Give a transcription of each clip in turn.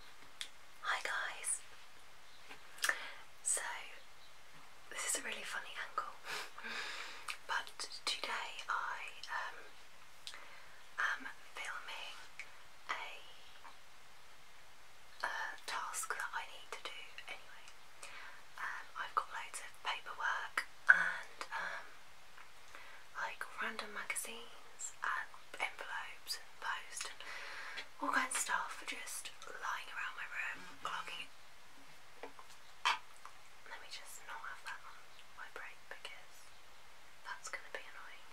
Hi guys! So, this is a really funny angle, but today I um, am filming a, task that I need to do anyway. Um, I've got loads of paperwork and um, like random magazines envelopes and post all kinds of stuff are just lying around my room, clogging Let me just not have that on my break because that's going to be annoying.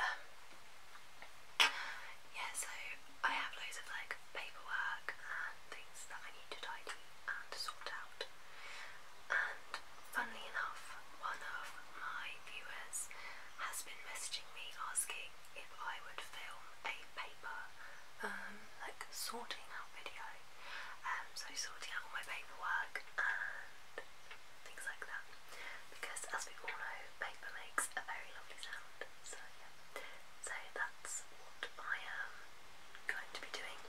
Um, yeah, so I have loads of like paperwork and things that I need to tidy and sort out, and Funnily enough, one of my viewers has been messaging me asking if I would film a paper, um, like sorting out video, um, so sorting out my paperwork and things like that. Because as we all know, paper makes a very lovely sound. So yeah, so that's what I am going to be doing.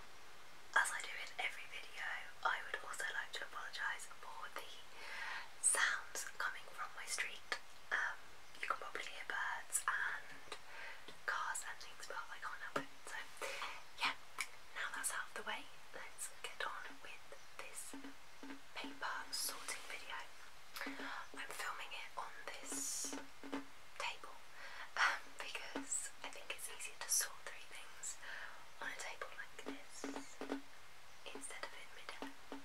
As I do in every video, I would also like to apologise for the sounds coming from my street. Um, you can probably hear birds and cars and things, but I can't help it. So, yeah, now that's out of the way, let's get on with this paper sorting video. I'm filming it on this table um, because I think it's easier to sort through things on a table like this instead um,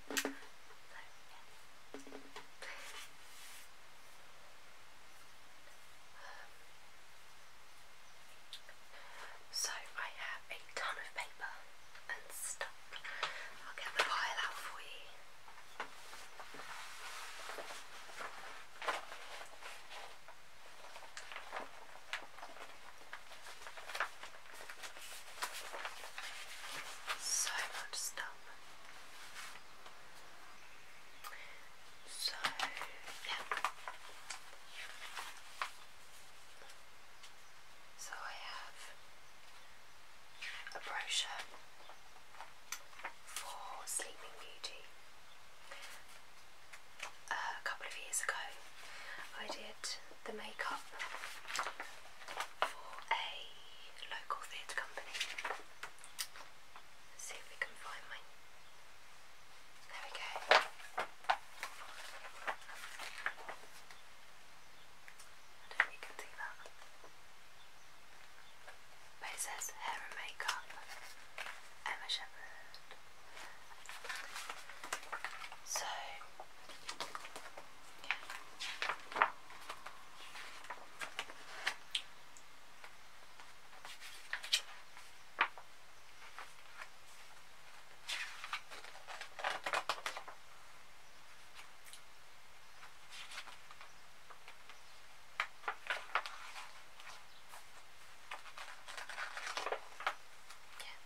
so I have a ton of paper and stuff. I'll get the pile out for you. So much stuff. So, yeah. So I have a brochure for Sleeping Beauty. a couple of years ago, I did the makeup for a local theatre company. see if we can find mine. There we go. I don't see that. it says hair and makeup, Emma Shepherd. So, Yeah,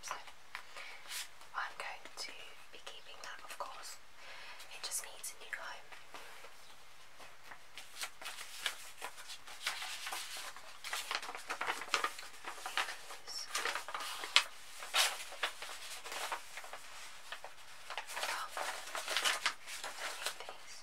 so I'm going to be keeping that, of course. It just needs a new home. These.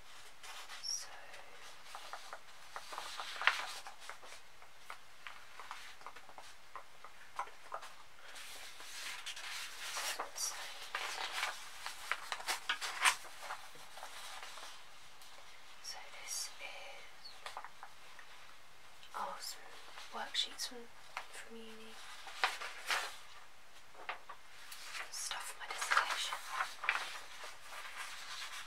So so this is oh worksheets from from uni stuff for my dissertation.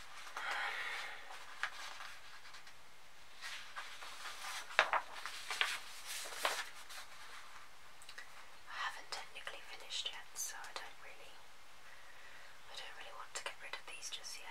I haven't technically finished yet, so I don't really I don't really want to get rid of these just yet.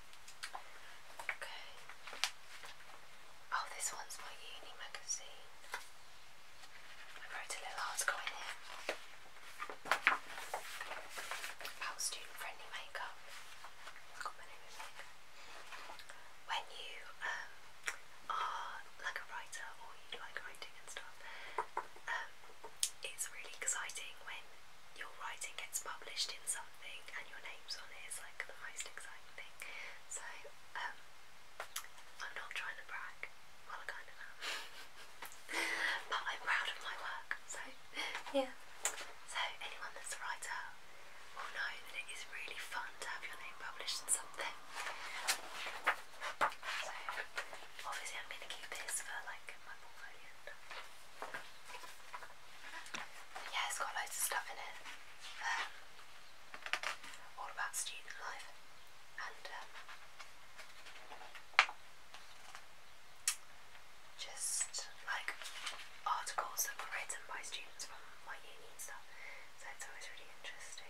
Okay. Oh, this one's my uni magazine. I wrote a little article in here about student friendly makeup. When you um, are like a writer or you like writing and stuff, um, it's really exciting when your writing gets published in some something and your name's on it is like the most exciting thing. So, um, I'm not trying to brag, well, I kind of am, but I'm proud of my work. So, yeah. So, anyone that's a writer will know that it is really fun to have your name published in something. So, obviously, I'm going to keep this for like my portfolio yeah, it's got loads of stuff in it. Um, all about student life and um, just like articles that were written by students from my uni stuff. So it's always really interesting.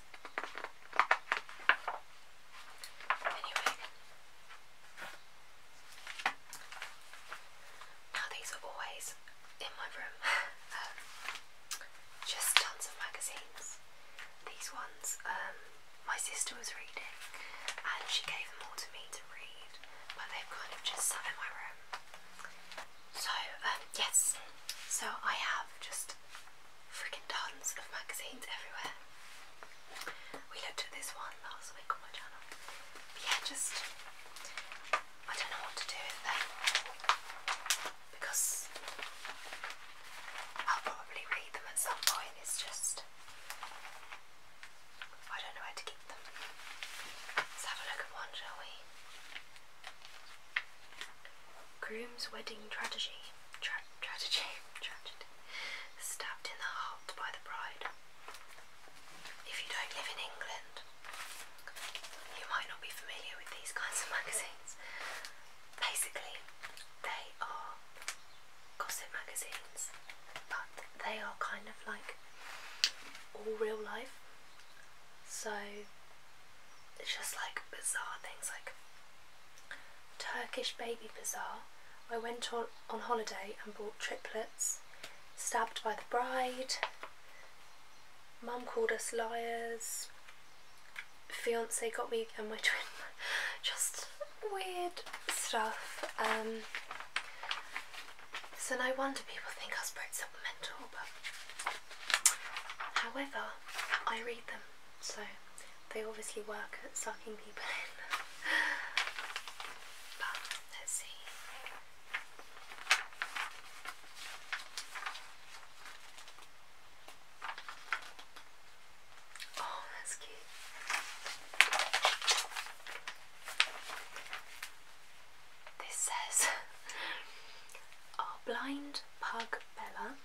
Anyway, now these are always in my room. Um, just tons of magazines. These ones um, my sister was reading and she gave them all to me to read, but they've kind of just sat in my room. So, um, yes, so I have just freaking tons of magazines everywhere. We looked at this one last week on my channel. But yeah, just I don't know what to do with them because I'll probably read them at some point. It's just I don't know where to keep them. Let's have a look at one, shall we? Groom's wedding tragedy. tragedy. tragedy. Stabbed in the heart by the bride. If you don't live in England, you might not be familiar with these kinds of magazines. Basically, they are gossip magazines, but they are kind of like all real life. So it's just like bizarre things like Turkish baby bazaar. I went on, on holiday and bought triplets, stabbed by the bride, mum called us liars, fiance got me and my twin, just weird stuff. Um, so no wonder people think I am something mental, but however, I read them so they obviously work at sucking people in. but let's see. Oh, that's cute. This says, Our blind pug Bella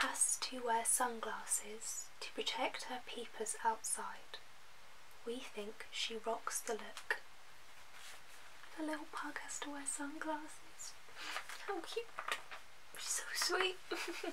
has to wear sunglasses to protect her peepers outside. We think she rocks the look. The little pug has to wear sunglasses. How cute! She's so sweet.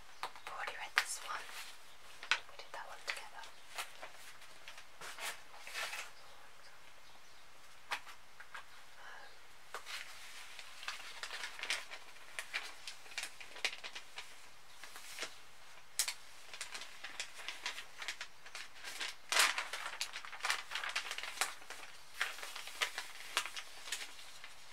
I've already read this one. We did that one together.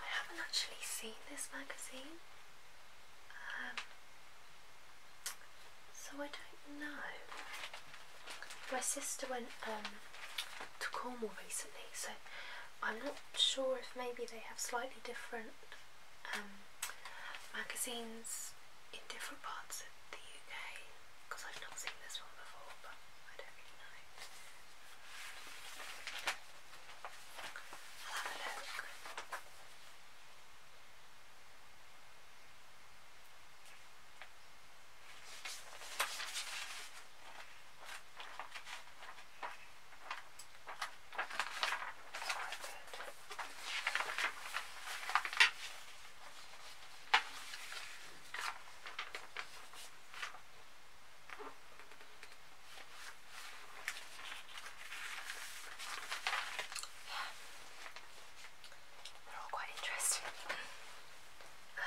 I haven't actually seen this magazine, um, so I don't know. My sister went um, to Cornwall recently, so I'm not sure if maybe they have slightly different um, magazines in different parts the UK because I've not seen this one before, but I don't really know. Yeah. They're all quite interesting. uh,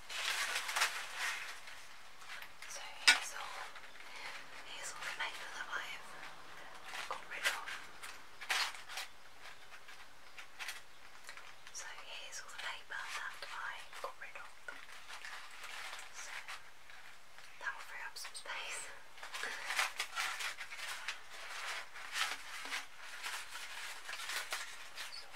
So here's all, here's all the paper that I have got rid of. So here's all the paper that I got rid of. So that will free up some space.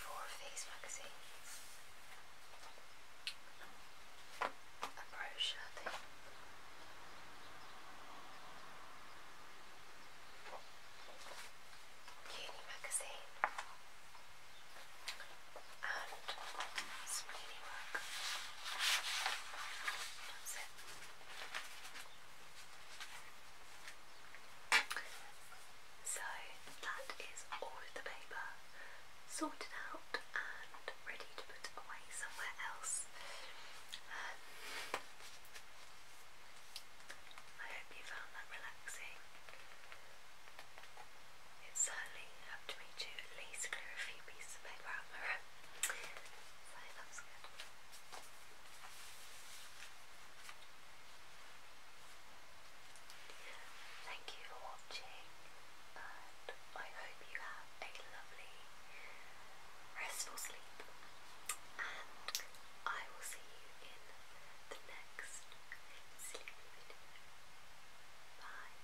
four of these a brochure Uni magazine and some work. So that is all of the paper sorted out and ready to put away somewhere else. Um, I hope you found that relaxing. It certainly helped me to at least clear a few pieces of paper out my room. Thank you for watching, and I hope you have a lovely, restful sleep. And I will see you in the next sleep video. Bye.